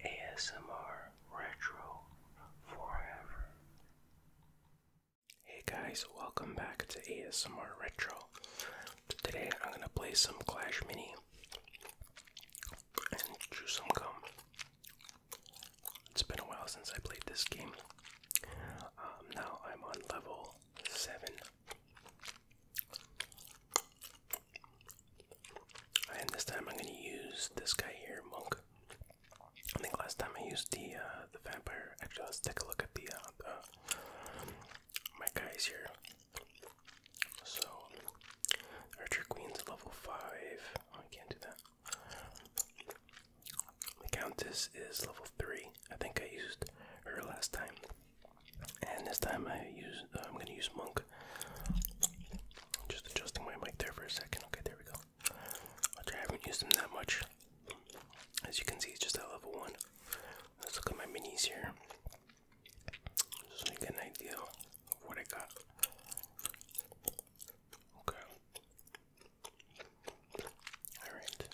ASMR Retro Forever. Hey guys, welcome back to ASMR Retro. Today I'm gonna play some Clash Mini and chew some gum. It's been a while since I played this game. Um, now I'm on level 7. And this time I'm gonna use this guy here, Monk. I think last time I used the uh, the vampire. Actually, let's take a look at the, uh, my guys here. So Archer Queen's level five. Oh, I can't do that. The Countess is level three. I think I used her last time. And this time I use uh, I'm gonna use monk. Just adjusting my mic there for a second. Okay, there we go. I haven't used them that much. As you can see, it's just at level one. Let's look at my minis here. Just so an idea of what I got. Okay. Alright.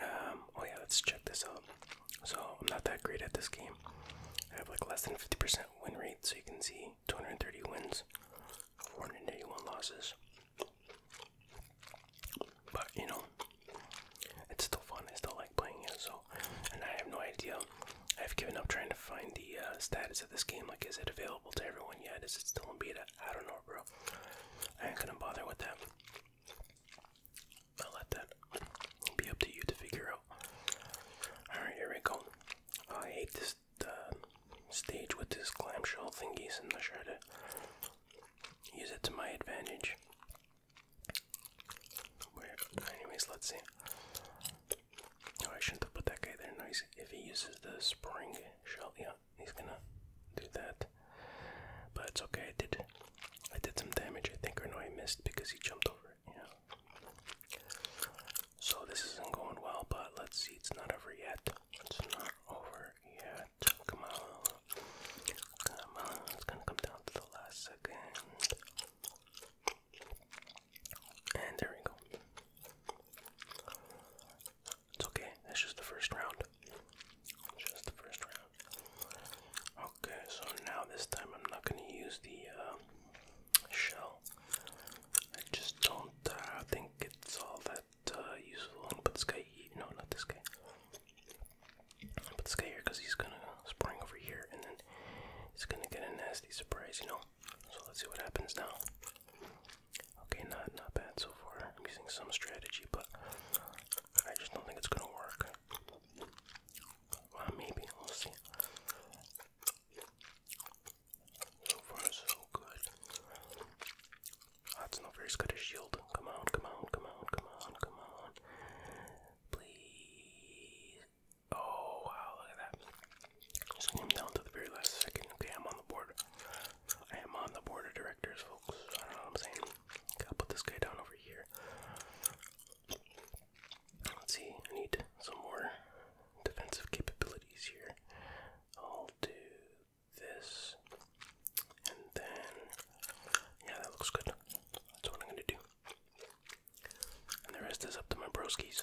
Um, oh yeah, let's check this out. So I'm not that great at this game. I have like less than 50% win rate, so you can see 230 wins, 481 losses. But you know, it's still fun. I still like playing it. So, and I have no idea. I've given up trying to find the uh, status of this game. Like, is it available to everyone yet? Is it still in beta? I don't know, bro. I ain't gonna bother with that. I'll let that be up to you to figure out. Alright, here we go. Oh, I hate this stage with this clamshell thingies. I'm not sure to use it to my advantage. Where? Anyways, let's see. Oh, I shouldn't have put that guy there. Nice. if he uses the spring shell, yeah, he's gonna do that missed. But it's okay, I did I did some damage I think or no I missed because he jumped over it, you know. So this isn't going well, but let's see, it's not over yet. It's not over yet. Come on. Come on. It's gonna come down to the last second. And there we go. It's okay. That's just the first round. Just the first round. Okay, so now this time I'm not gonna use the uh, shell. I just don't uh, think it's all that uh, useful. I'll put this guy. No, not this guy. I'll put this guy here because he's gonna spring over here, and then he's gonna get a nasty surprise, you know. So let's see what happens now. Okay, not not bad so far. I'm using some strategy, but I just don't think it's gonna work. Well, maybe we'll see. So far, so good. That's not very good as shield. Come on, come on, come on, come on, come on. Please. Oh wow, look at that. Just came down to the very last second. Okay, I'm on the board. I am on the board of directors, folks. I know what I'm saying. Gotta put this guy down over here. Let's see, I need some more defensive capabilities here. I'll do this. And then, yeah, that looks good. That's what I'm gonna do. And the rest is up to my broskis.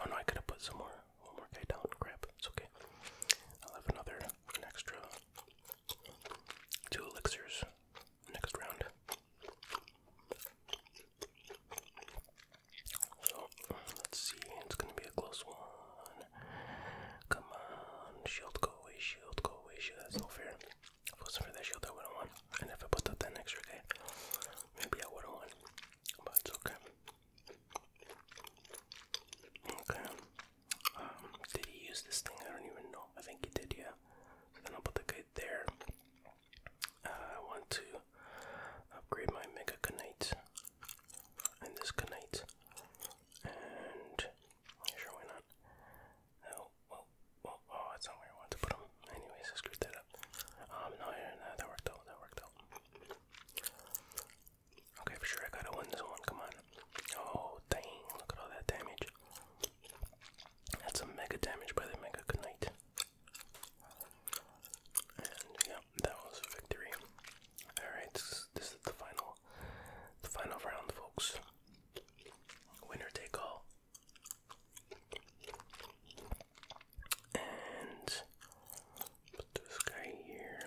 Oh no, I could have put some more, one more guy down. Crap, it's okay. I'll have another, an extra Two elixirs next round. So let's see, it's gonna be a close one. Come on, shield go away, shield go away, shield. That's no fair. If it wasn't for that shield, I wouldn't won. And if I put that extra guy, maybe I would've won. But it's okay. Okay did he use this thing? I don't even know. I think he did, yeah. then I'll put the kite there. Uh, I want to upgrade my Mega Knight and this Knight. And sure, why not? No, oh, well, well, oh, that's not where I want to put him. Anyways, I screwed that up. Um, no, yeah, no, that worked out. That worked out. Okay, for sure, I gotta win this one. Come on. Oh, dang, look at all that damage. That's a mega damage by the Mega Knight. And yeah, that was a victory. Alright, this, this is the final the final round folks. Winner take all. And put this guy here.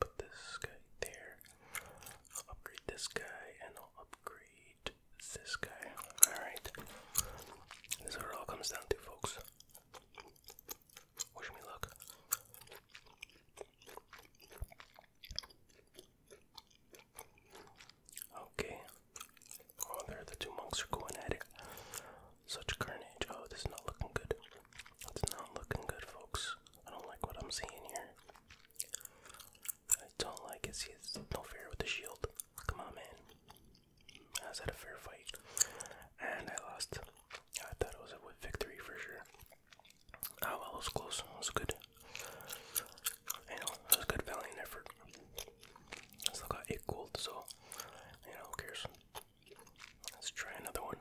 Put this guy there. I'll upgrade this guy, and I'll upgrade this guy. Alright. This is what it all comes down to, folks. Wish me luck. Okay. Oh, there the two monks are going at it. Such carnage. Oh, this is not looking good. It's not looking good, folks. I don't like what I'm seeing here. I don't like it. See, it's no fair with the shield. Come on, man. I was at a fair fight, and I lost. I thought it was a victory for sure. Oh well, it was close. It was good. I know it was good, valiant effort. I still got eight gold, so you know, who cares? Let's try another one.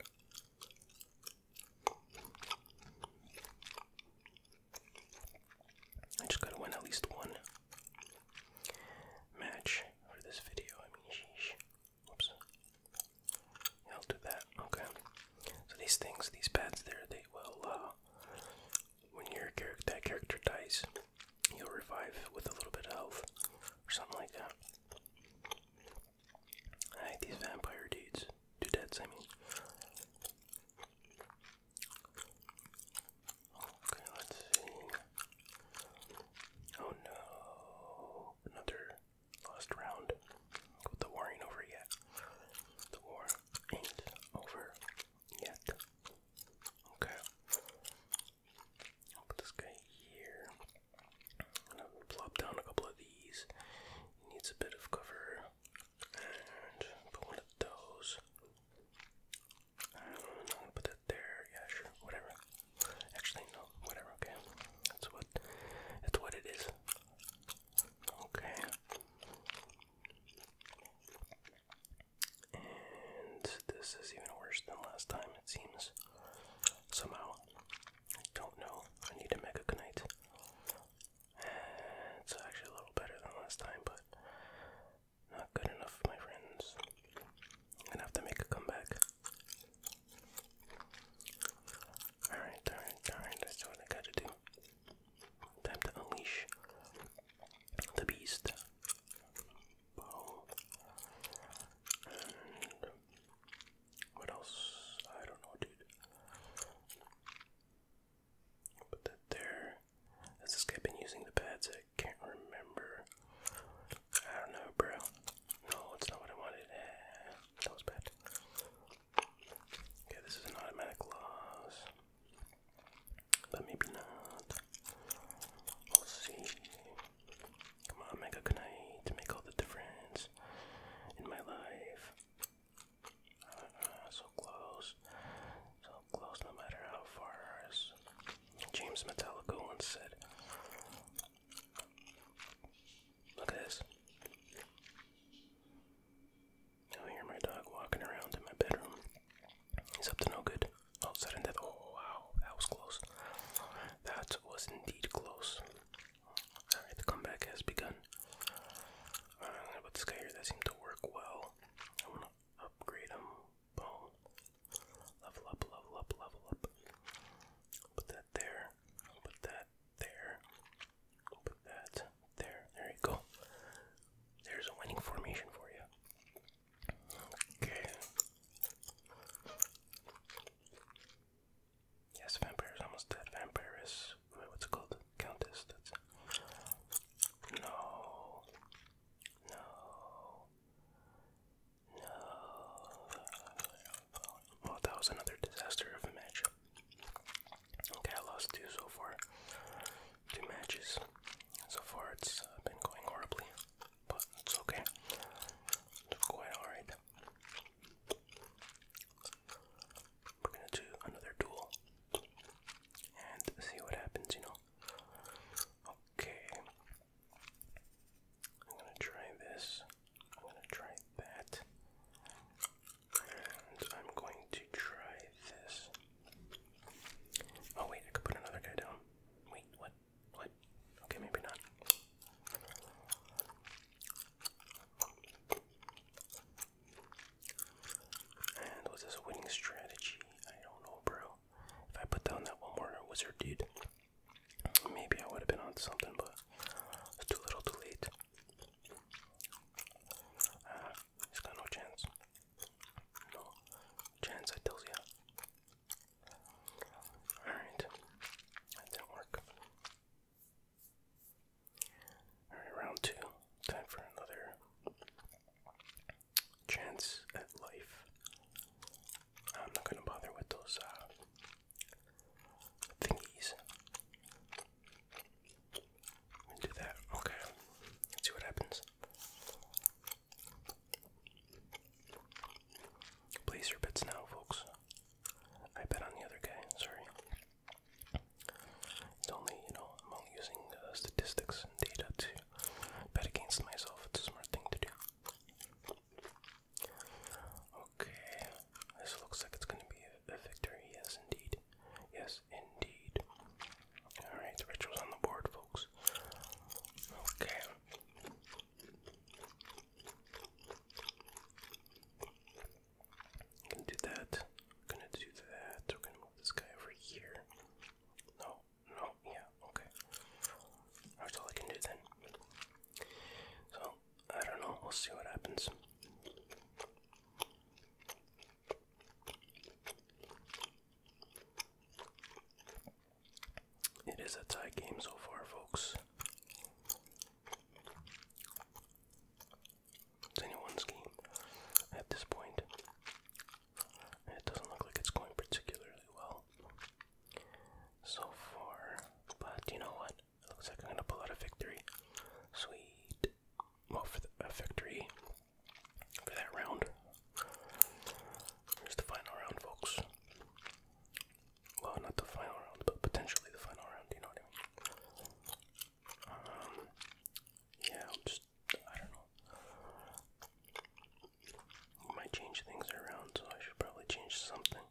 I just gotta win at least one match for this video. I mean, sheesh. Whoops. I'll do that. Okay. So these things, these pads there, they will, uh, when your character, that character dies, you'll revive with a little bit of health or something like that. I hate these vampire dudes. Dudettes, I mean. Okay, let's see. Oh no, another lost round. The war ain't over yet. The war ain't over yet. Okay. put this guy here. And I will plop down a couple of these. It needs a bit of cover. And put one of those. I'm gonna put that there. Yeah, sure, whatever. Actually, no, whatever. Okay, that's what. That's what it is. Okay. And this is even worse than last time. It seems somehow. I don't know. I need a Mega Knight. It's actually a little better than last time, but not good enough, my friends. I'm gonna have to make a comeback. Alright, alright, alright, that's what I gotta do. Time to unleash the beast. What else? I don't know, dude. Put that there. Has this guy been using the pads? I can't remember. I don't know, bro. No, it's not what I wanted. Eh, that was bad. Okay, this is an automatic loss. But maybe not. We'll see. Come on, make Mega Knight, make all the difference in my life. Uh, so close, so close, no matter how far. James Metallica once said, "Look at this." Now hear my dog walking around in my bedroom. He's up to no good. All of a sudden death. Oh wow, that was close. That was indeed close. Alright, the comeback has begun. Alright, uh, i That seemed to work well. I wanna upgrade him. Boom. Level up, level up, level up. Put that there. Put that there. Put that there. There you go. There's a winning formation for you. Okay. Yes, vampire is almost dead. Vampire is what's it called? Countess. That's it. No. No. No. Well, that was another disaster of a match. Okay, I lost two so far. Two matches. So far, It's uh, been going horribly, but it's okay. It's quite alright. We're gonna do another duel and see what happens, you know. Okay. I'm gonna try this. I'm gonna try that. And I'm going to try this. Oh wait, I could put another guy down. Wait, what? What? Okay, maybe not. And was this winning strategy? I don't know, bro. If I put down that one more wizard dude, maybe I would have been on something, but it's too little too late. Uh, ah, he's got no chance. No chance, I tells ya. Alright. That didn't work. Alright, round two. Time for another chance at life. I'm not gonna bother with those uh thingies. do that. Okay. see what happens. Place your bets now, folks. I bet on the other guy, sorry. It's only, you know, I'm only using uh, statistics and data to bet against myself. It's a smart thing to do. Okay, this looks like it's gonna be a, victory. Yes, indeed. Yes, indeed. Alright, the ritual's on the board, folks. Okay gonna do that. gonna do that. We're gonna move this guy over here. No, no, yeah, okay. That's all I can do then. So, I don't know, we'll see what happens. It is a tie game so far, folks. It's anyone's game at this point. it doesn't look like it's going particularly well so far. But you know what? looks like I'm going to pull out a victory. Sweet. Well, for a victory for that round. Here's the final round, folks. Well, not the final round, but potentially the final round. You know what I mean? Um, yeah, I'm just I don't know. might change things around, so I should probably change something.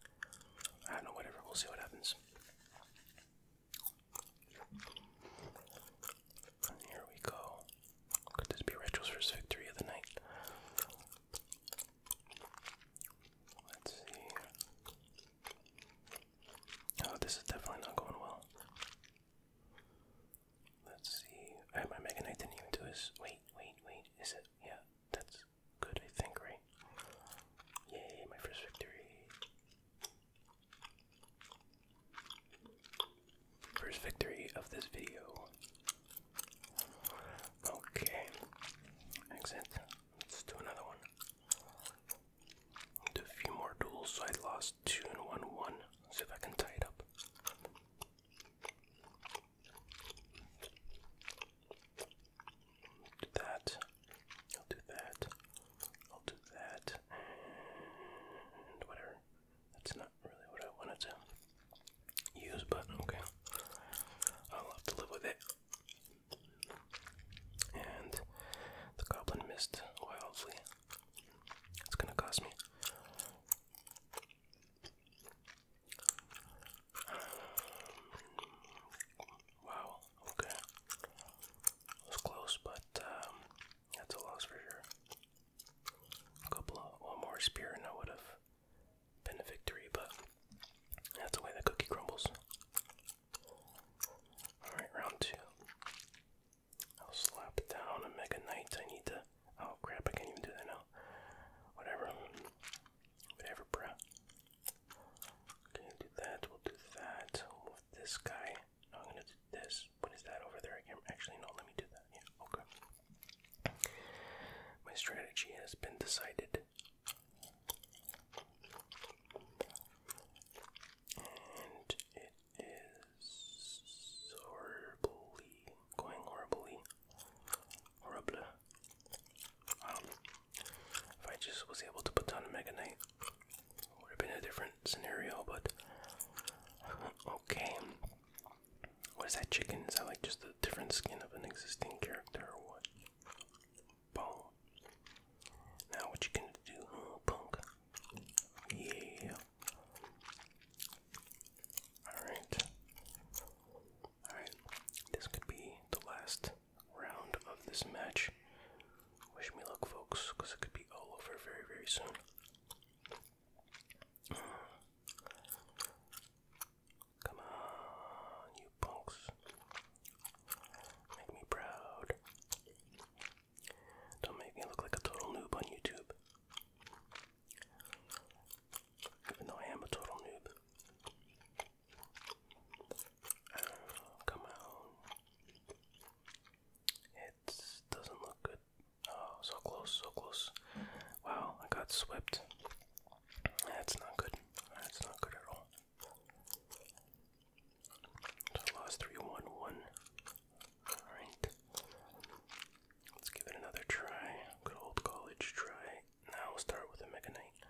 I don't know. Whatever. We'll see what happens. here we go. Could this be Retro's first victory of the night? Let's see. Oh, this is definitely not going well. Let's see. I have my didn't even do his. Wait, wait, wait. Is it? Yeah, that's good, I think, right? Yay, my first victory. First victory of this video. Okay. Exit. Let's do another one. Do a few more duels, so I lost two and one one. let see if I can tie it up. Do that. I'll do that. I'll do that. And whatever. That's 9 really what I wanted to use, but okay. I'll to live with it. And the goblin missed wildly. It's gonna cost me. Um, wow, okay. was close, but um, that's a loss for sure. A couple one more spear and I would have been a victory, but that's the way the cookie crumbles. Alright, round two. I'll slap down a Mega Knight. I need to. Oh crap, I can't even do that now. Whatever. Whatever, bruh. Okay, do that. We'll do that. move this guy. I'm gonna do this. What is that over there? I Actually, no, let me do that. Yeah, okay. My strategy has been decided. And it is horribly going horribly. Horrible. Um, if I just was able to put down a Mega Knight, would have been a different scenario, but okay. What is that chicken? Is that like just a different skin of an existing character or what? Boom. Now what you gonna do, punk? Yeah. Alright. Alright. This could be the last round of this match. Wish me luck, folks, because it could be all over very, very soon. Come on, you punks. Make me proud. Don't make me look like a total noob on YouTube. Even though I am a total noob. Oh, come on. It doesn't look good. Oh, so close, so close. Wow, I got swept. That's not good. That's not good at all. lost 3 Alright. Let's give it another try. Good old college try. Now we'll start with a Mega Knight.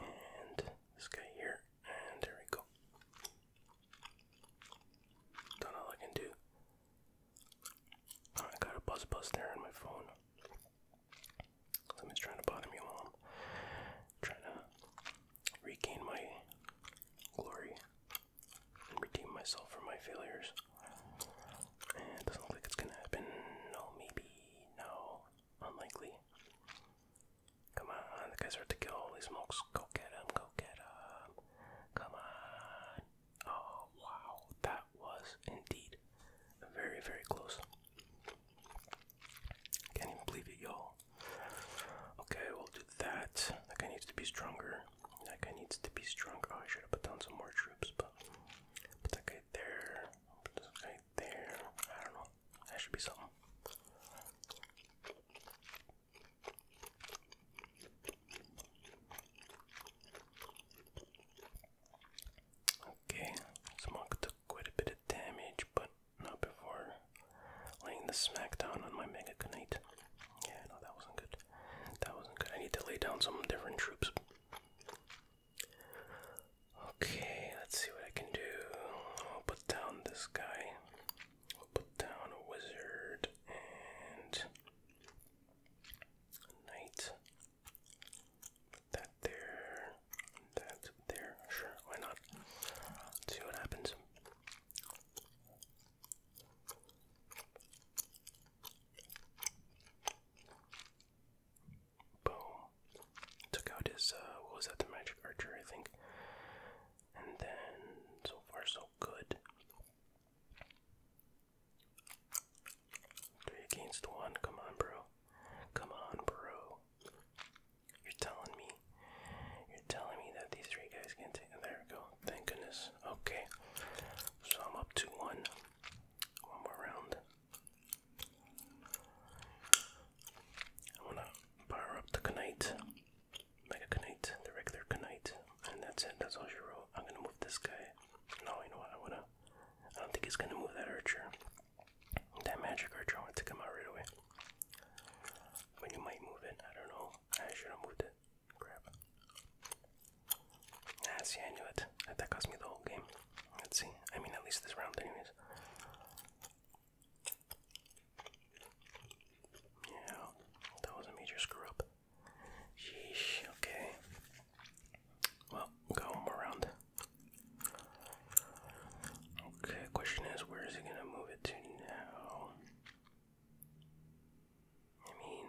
And this guy here. And there we go. do all I can do. I got a buzz buzz there on my phone. Somebody's trying to bother me while trying to regain my glory and redeem myself from my failures. And doesn't look like it's gonna happen. No, maybe. No. Unlikely. Come on, the guys are at the kill. Holy smokes. Go get Go get Come on. Oh, wow, that was indeed very, very close. Can't even believe it, y'all. Okay, we'll do that. That guy needs to be stronger. That guy needs to be stronger. Oh, I should have put down some more troops, but put that guy there. Put there. I don't know. That should be something. Okay, Smog took quite a bit of damage, but not before laying the smackdown on my Mega Knight. Yeah, no, that wasn't good. That wasn't good. I need to lay down some different troops. Okay, let's see what I can do. I'll put down this guy. I'll put down a wizard and knight. that there. That there. Sure, why not? see what happens. Boom. Took out his, uh, what was that, the magic archer, I think. And then, so far so good. Three against one. Come on, bro. Come on, bro. You're telling me. You're telling me that these three guys can take. There we go. Thank goodness. Okay. So I'm up to one. One more round. I wanna power up the Knight. Mega Knight, regular Knight, and that's it. That's all you wrote. I'm gonna move this guy. No, you know what? I wanna. I don't think he's gonna move that archer. That magic archer. I want to come out right away. When you might move it, I don't know. I should have moved it. Crap. Ah, see, I knew it. That cost me the whole game. Let's see. I mean, at least this round, anyways. Yeah, that was a major screw up. Sheesh, okay. Well, go around. Okay, question is where is he gonna move it to now? I mean,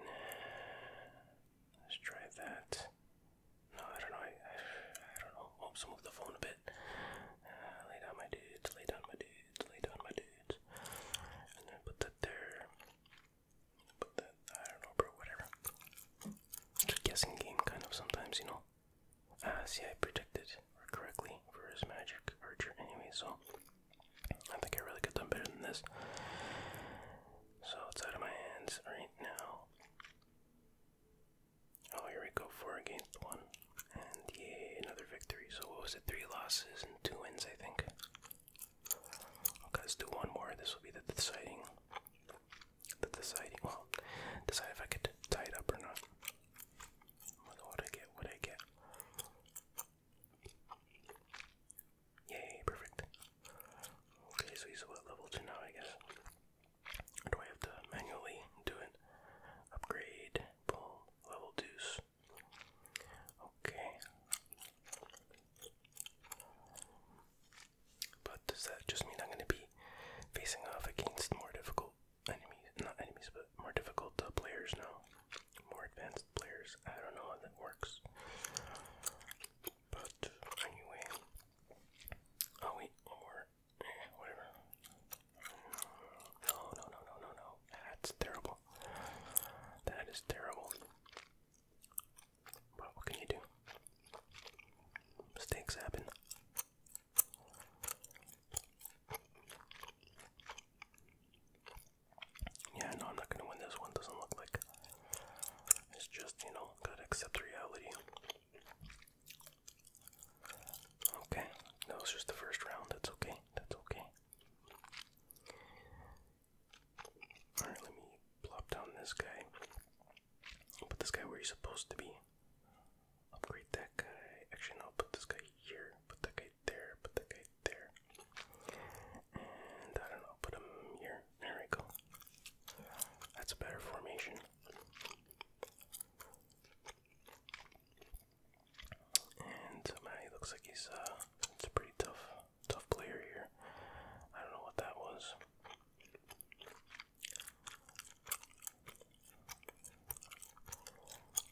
let's try that. No, I don't know. I, I, don't know. Oops, move the phone a bit. Uh, lay down, my dudes. Lay down, my dudes lay down my dudes. And then put that there. Put that, I don't know, bro, whatever. Just guessing game, kind of, sometimes, you know. Ah, see, I predicted correctly for his magic archer anyway, so I think I really could have better than this. So it's out of my hands right now. Oh, here we go, four against one. And yeah, another victory. So what was it? Three losses and two wins, I think. Okay, let's do one more. This will be the deciding. The deciding. Well, decide if I could tie up or not. What I get? What I get? Yay! Perfect. Okay, so he's what level two now? I guess. do I have to manually do it? Upgrade. Boom. Level deuce. Okay. But does that just mean I'm going to be facing off against more difficult enemies? Not enemies, but more difficult uh, players now. More advanced players. I don't know how that works. But anyway. Oh, wait, one eh, whatever. No, no, no, no, no, no. That's terrible. That is terrible. But what can you do? Mistakes happen. Yeah, no, I'm not gonna win this one. Doesn't look like it's just, you know, gotta accept reality. Okay, that was just the first round. That's okay. That's okay. Alright, let me plop down this guy. Put this guy where he's supposed to be. Upgrade that guy. Actually, no, put this guy here. Put that guy there. Put the guy there. And I do put him here. There we go. That's a better formation. And man, looks like he's uh, it's a pretty tough, tough player here. I don't know what that was.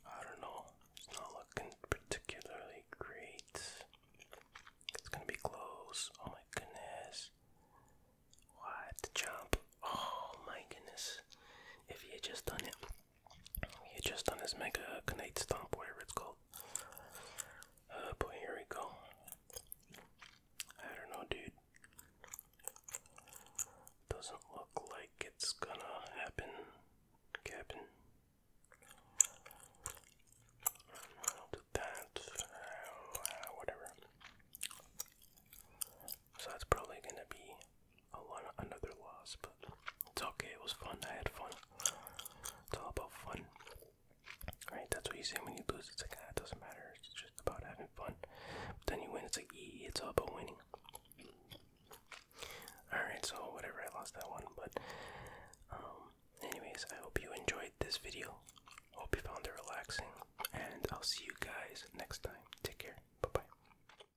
I don't know. It's not looking particularly great. It's gonna be close. Oh my goodness. What jump? Oh my goodness. If he had just done it. He just done his mega grenade stomp, whatever it's called. Uh, but here we go. I don't know, dude. Doesn't look like it's gonna happen, Captain. i that. Uh, whatever. So that's probably gonna be a lot another loss, it's okay. It was fun. I had fun. It's all about fun, right? That's what you say when you lose. It's like ah, it doesn't matter. It's just about having fun. But then you win. It's like ee, it's all about winning. All right. So whatever. I lost that one, but um. Anyways, I hope you enjoyed this video. Hope you found it relaxing, and I'll see you guys next time. Take care. Bye bye.